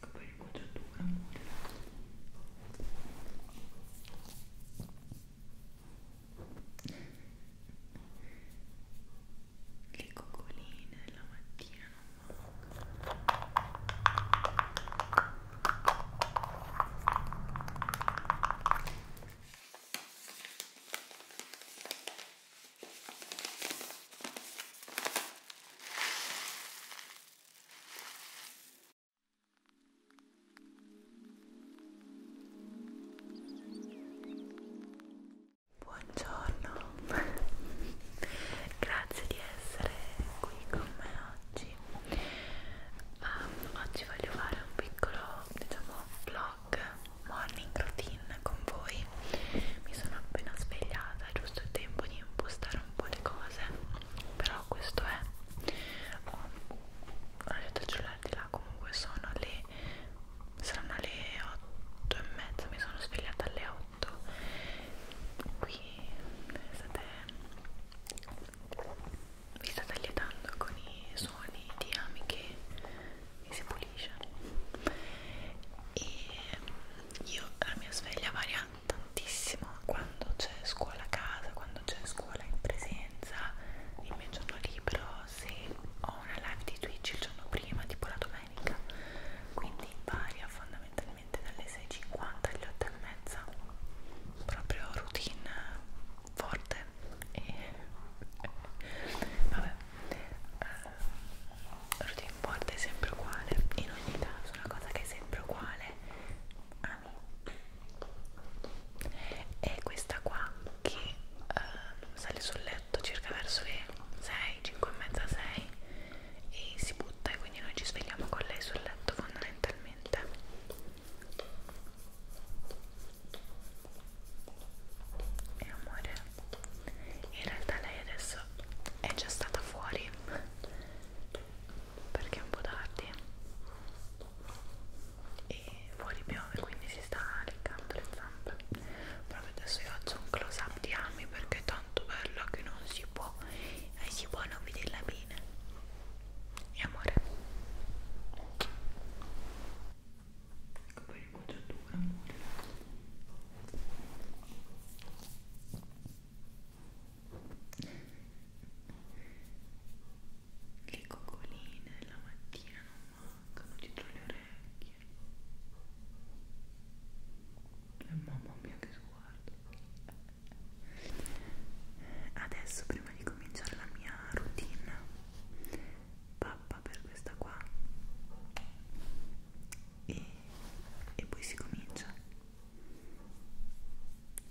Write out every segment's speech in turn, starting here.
Poi l'inquadratura, amore. Le coccoline la mattina non Buongiorno, grazie di essere qui con me oggi um, oggi voglio fare un piccolo diciamo vlog morning routine con voi mi sono appena svegliata è giusto il tempo di impostare un po' le cose però questo è ho lasciato il cellulare di là comunque sono le saranno le 8 e mezza mi sono svegliata alle 8 fatto qui state, vi state allietando con i suoni di ami che si pulisce e io la mia sveglia varia tantissimo quando c'è scuola a casa, quando c'è scuola in presenza, il mio giorno libero, se ho una live di Twitch il giorno prima, tipo la domenica, quindi varia fondamentalmente probabilmente dalle 6.50 alle 8.30 proprio routine forte e vabbè uh, routine forte è sempre uguale in ogni caso una cosa che è sempre uguale ami è questa qua che uh, sale sul letto circa verso le 6, 5 e mezza 6 e si butta e quindi noi ci svegliamo con lei sul letto fondamentalmente e amore in realtà lei adesso è già stata fuori perché è un po' tardi e fuori piove quindi si sta leccando le zampe proprio adesso io faccio un close up di Ami perché è tanto bello che non si può e si può non vederla bene e amore ecco poi l'inquadratura amore le coccoline la mattina non mancano dietro le orecchie e mamma mia che sguardo Adesso prima di cominciare la mia routine pappa per questa qua e, e poi si comincia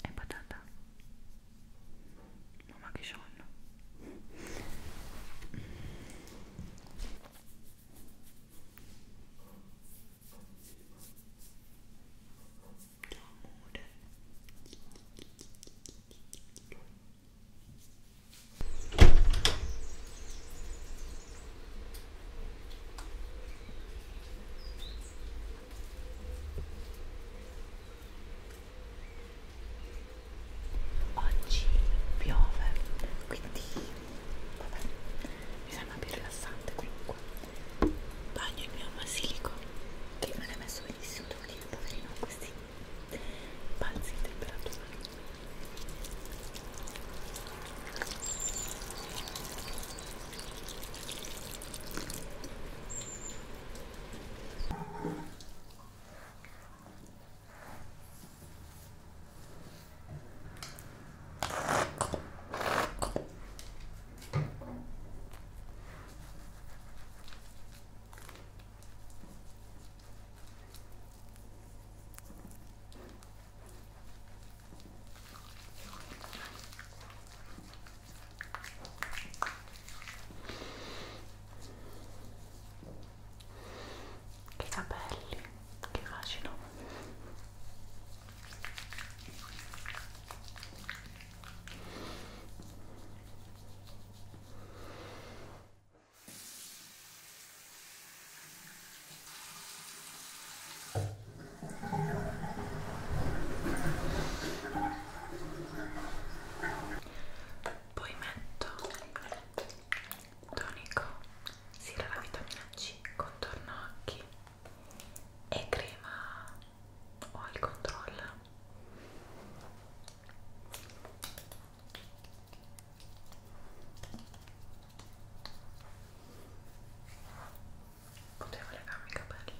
è patata mamma che sonno amore Oggi piove, quindi vabbè, mi sembra più rilassante comunque bagno il mio basilico che me l'ha messo benissimo devo dire poverino questi balzi di temperatura che capelli che fascino poi metto tonico sera la vitamina C, contorno occhi e crema oil control potevo legarmi i capelli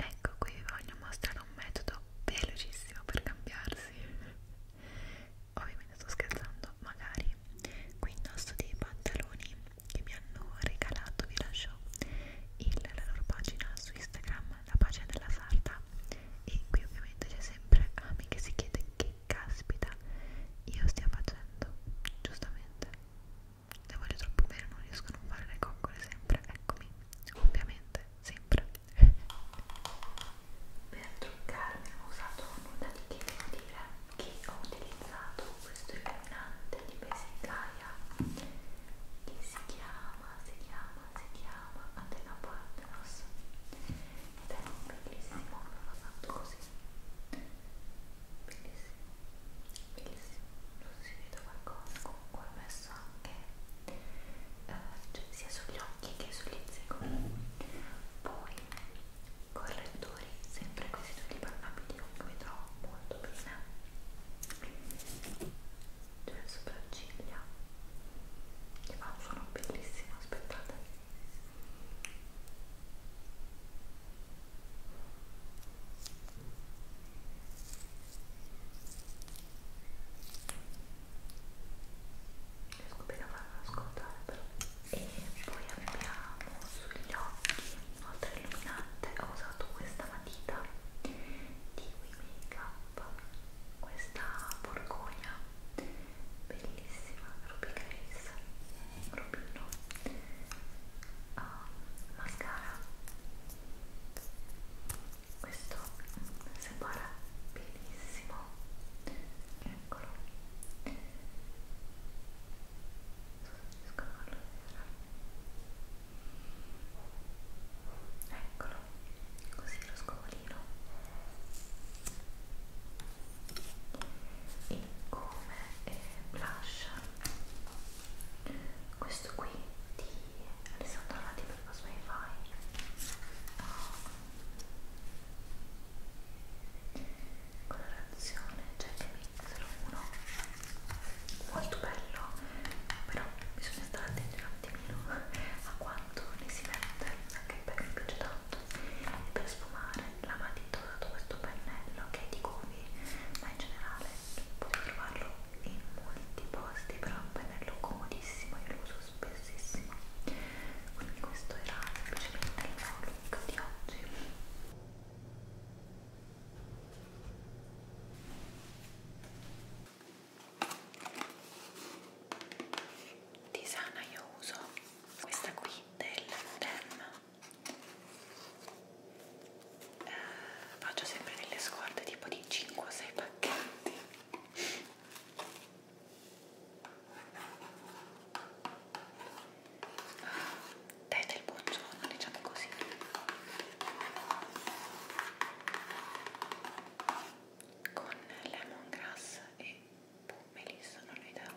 Ecco qui vi voglio mostrare un metodo velocissimo per cambiarsi. Ovviamente sto scherzando ma magari qui indosso dei pantaloni che mi hanno regalato vi lascio il, la loro pagina su Instagram la pagina della sarta e qui ovviamente c'è sempre Ami che si chiede che caspita io stia facendo giustamente le voglio troppo bene non riesco a non fare le coccole sempre eccomi ovviamente sempre per truccarmi ho usato nulla di che devo dire che ho utilizzato questo illuminante di Besicaia che si chiama, si chiama, si chiama Atena Partneros ed è bellissimo, me l'ho fatto così bellissimo, bellissimo non so se vedo qualcosa, comunque ho messo anche eh, cioè, sia sugli occhi che sugli zigomi poi correttori sempre così tutti parlabili comunque mi trovo molto bene cioè le sopracciglia che fa un suono bellissimo aspettate riesco bene a farlo ascoltare però e poi abbiamo sugli occhi oltre illuminante ho usato questa matita di We Make Up questa borgogna bellissima ruby grace rubino uh, ah, mascara questo sembra bellissimo eccolo eccolo così lo scovolino e come eh, blush questo qui di Alessandro Lati per Cosmify oh, colorazione Jack Mix 1 molto bello però bisogna stare attenti un attimino a quanto ne si mette anche perché mi piace tanto e per sfumare la matita ho dato questo pennello che è di Govi ma in generale potete trovarlo in molti posti però è un pennello comodissimo io lo uso spessissimo quindi questo era semplicemente il mio look di oggi tisana io uso questa qui del Dem eh, faccio sempre delle scorte tipo di 5 o 6 pacchetti dai del buongiorno, diciamo così. Con lemongrass e boh, melissa, non ho idea.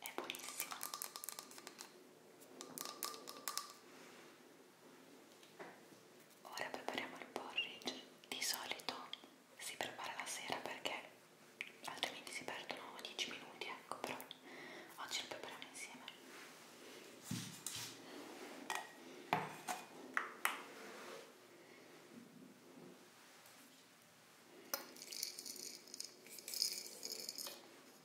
è buonissima ora prepariamo il porridge di solito si prepara la sera perché altrimenti si perdono 10 minuti ecco però oggi lo prepariamo insieme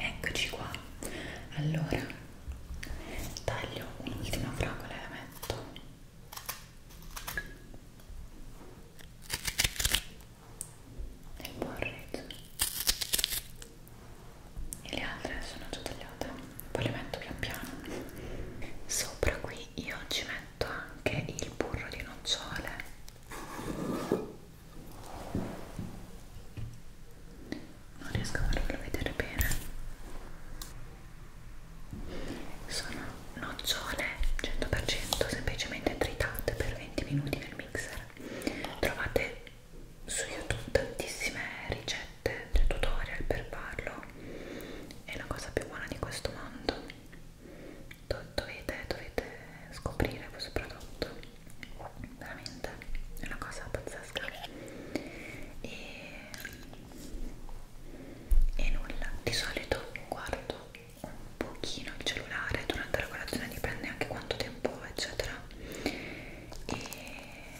Eccoci qua. Allora taglio un'ultima fragola e la metto e porridge e le altre sono già tagliate poi le metto pian piano sopra qui io ci metto anche il burro di nocciole non riesco a farlo vedere bene sono nocciole 100% semplicemente tritate per 20 minuti nel mixer trovate su youtube tantissime ricette cioè tutorial per farlo è la cosa più buona di questo mondo Do dovete, dovete scoprire questo prodotto veramente è una cosa pazzesca e, e nulla di solito guardo un pochino il cellulare durante la colazione dipende anche quanto tempo eccetera e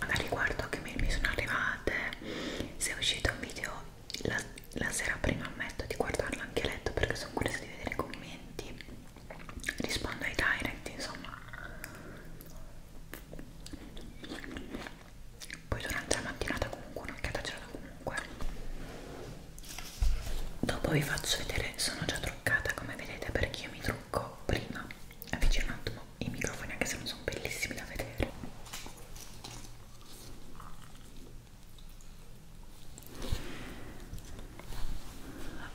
magari guardo che mi sono arrivate se è uscito un video la, la sera prima ammetto di guardarlo anche a letto perché sono curiosa di vedere i commenti rispondo ai direct insomma poi durante la mattinata comunque un'occhiata ce l'ho comunque dopo vi faccio vedere sono già truccata come vedete perché io mi trucco prima avvicino un attimo i microfoni anche se non sono bellissimi da vedere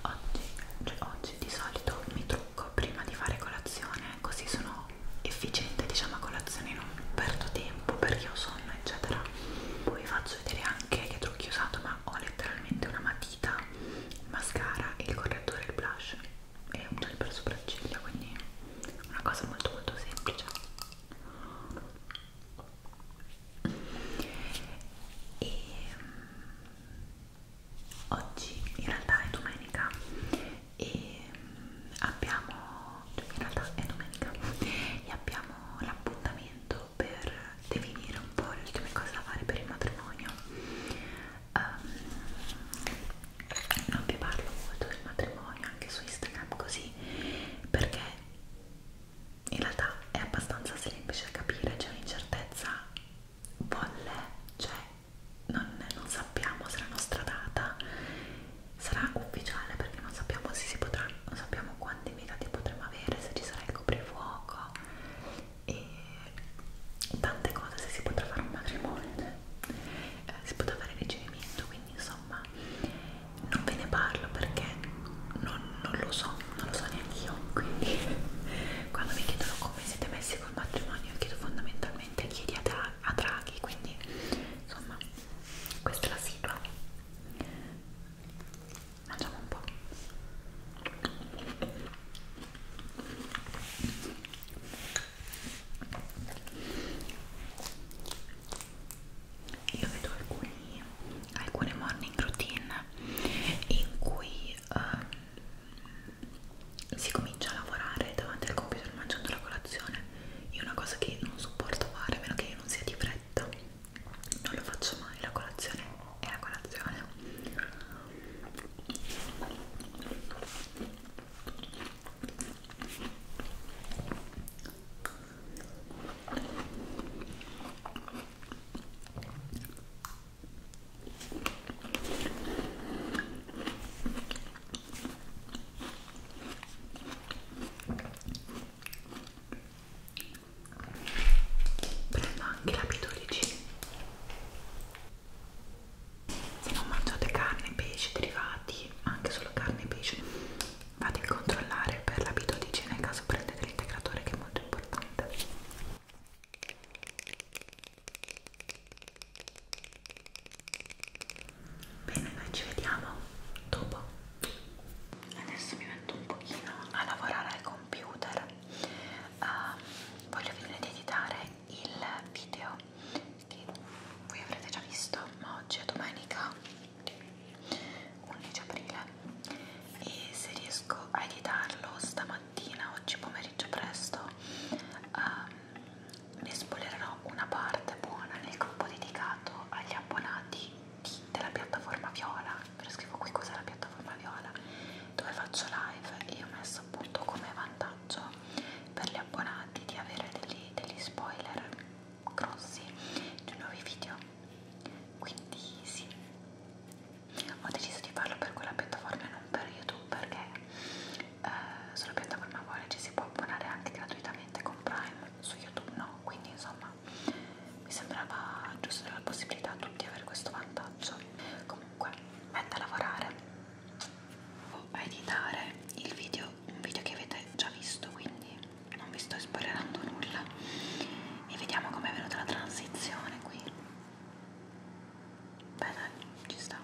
oggi, cioè oggi di solito mi trucco prima di fare colazione così sono efficiente diciamo a colazione non perdo tempo perché ho sonno eccetera poi vi faccio vedere anche che trucchi ho usato ma ho letteralmente una matita il mascara, il correttore, il blush e un gel per sopracciglia quindi una cosa molto molto semplice e mm, oggi in realtà è domenica e mm, abbiamo, cioè in realtà è domenica, e abbiamo l'appuntamento per definire un po' le ultime cose da fare per il matrimonio. Um, non vi parlo molto del matrimonio anche su Instagram così perché in realtà è abbastanza semplice capire, c'è un'incertezza, volle, c'è. Cioè, non, non sappiamo se la nostra data sarà ufficiale perché non sappiamo se si potrà, non sappiamo quanti invitati potremo avere, se ci sarà il coprifuoco e tante cose, se si potrà fare un matrimonio, eh, si potrà fare il ricevimento, quindi insomma non ve ne parlo perché non, non lo so, non lo so neanche io, quindi quando mi chiedono come siete messi col matrimonio, chiedo fondamentalmente chiedi a, Dra a Draghi, quindi insomma questa è la sigla mangiamo un po' io vedo alcuni, alcune morning routine in cui eh, si comincia a lavorare davanti al computer mangiando la colazione io una cosa che non sopporto fare a meno che io non sia di fretta non lo faccio mai la colazione è la colazione prendo anche la B12 se non mangiate carne, pesce, derivati anche solo carne e pesce vado a controllare per la B12 nel caso prendete l'integratore che è molto importante Bene, noi ci vediamo dopo. Adesso mi metto un pochino a lavorare al computer. Uh, voglio finire di editare il video che voi avrete già visto, ma oggi è domenica 11 aprile e se riesco a editarlo stamattina, oggi pomeriggio presto, uh, ne spoilerò una parte buona nel gruppo dedicato agli abbonati di, della piattaforma viola ve lo scrivo qui cos'è la piattaforma viola dove faccio live e ho messo appunto come vantaggio per gli abbonati di avere degli, degli spoiler grossi di nuovi video quindi sì ho deciso di farlo per quella piattaforma e non per youtube perché eh, sulla piattaforma vuole ci si può abbonare anche gratuitamente con Prime su YouTube no quindi insomma mi sembrava giusto la possibilità a tutti di avere questo vantaggio comunque mette a lavorare o a editare il video un video che avete già visto quindi non vi sto spoilerando nulla e vediamo com'è venuta la transizione qui Beh dai, ci sta.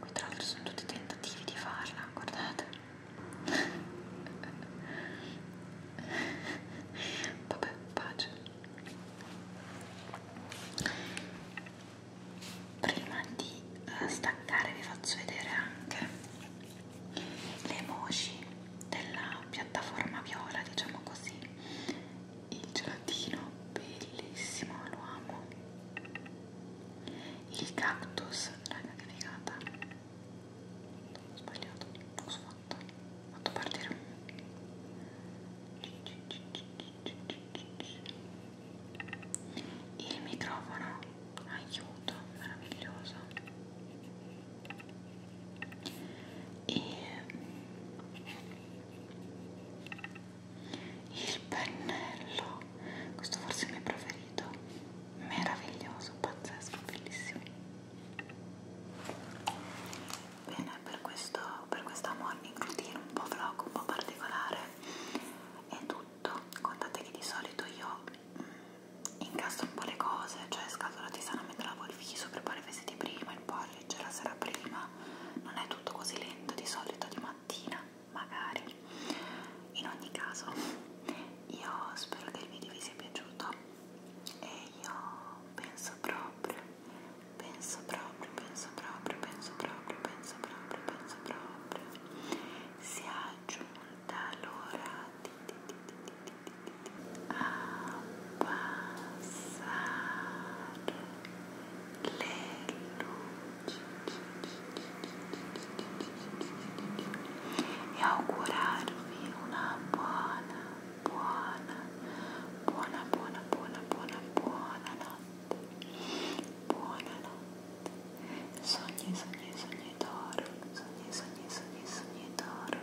Qui tra l'altro sono tutti tentativi di farla, guardate. Vabbè, pace. Prima di eh, staccare vi faccio vedere anche le emoji della piattaforma viola, diciamo così il gelatino bellissimo lo amo il cactus raga che figata ho sbagliato cosa ho fatto ho fatto partire un il microfono aiuto meraviglioso e il pennello questo forse è il mio preferito meraviglioso pazzesco bellissimo bene per questo per questa morning routine un po' vlog un po' particolare è tutto contate che di solito io mh, mm, incastro un po' le cose cioè scatolo tisana me lavo il viso preparo i vestiti prima il poi a leggere la sera prima, non è tutto così lento di solito di mattina, magari. In ogni caso, io spero che il video vi sia piaciuto e io penso proprio, penso proprio, penso proprio, penso proprio, penso proprio, penso proprio, sia giunta l'ora di, di, di, di, di, di, di, di. a passare e augurarvi una buona, buona, buona, buona, buona, buona, buona notte. Buonanotte. Sogni, sogni, sogni d'oro. Sogni, sogni, sogni, sogni d'oro.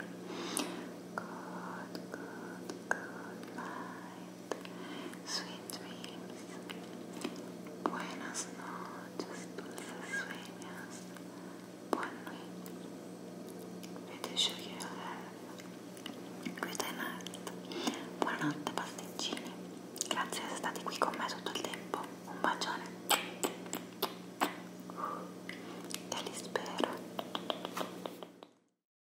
Good, good, good night. Sweet dreams. Buenas noches, dulces sueños. Buon nuit. With the sugar you have. Good night. Buonanotte pasticcini. Grazie di essere stati qui con me tutto il tempo. Un bacione. Te li spero.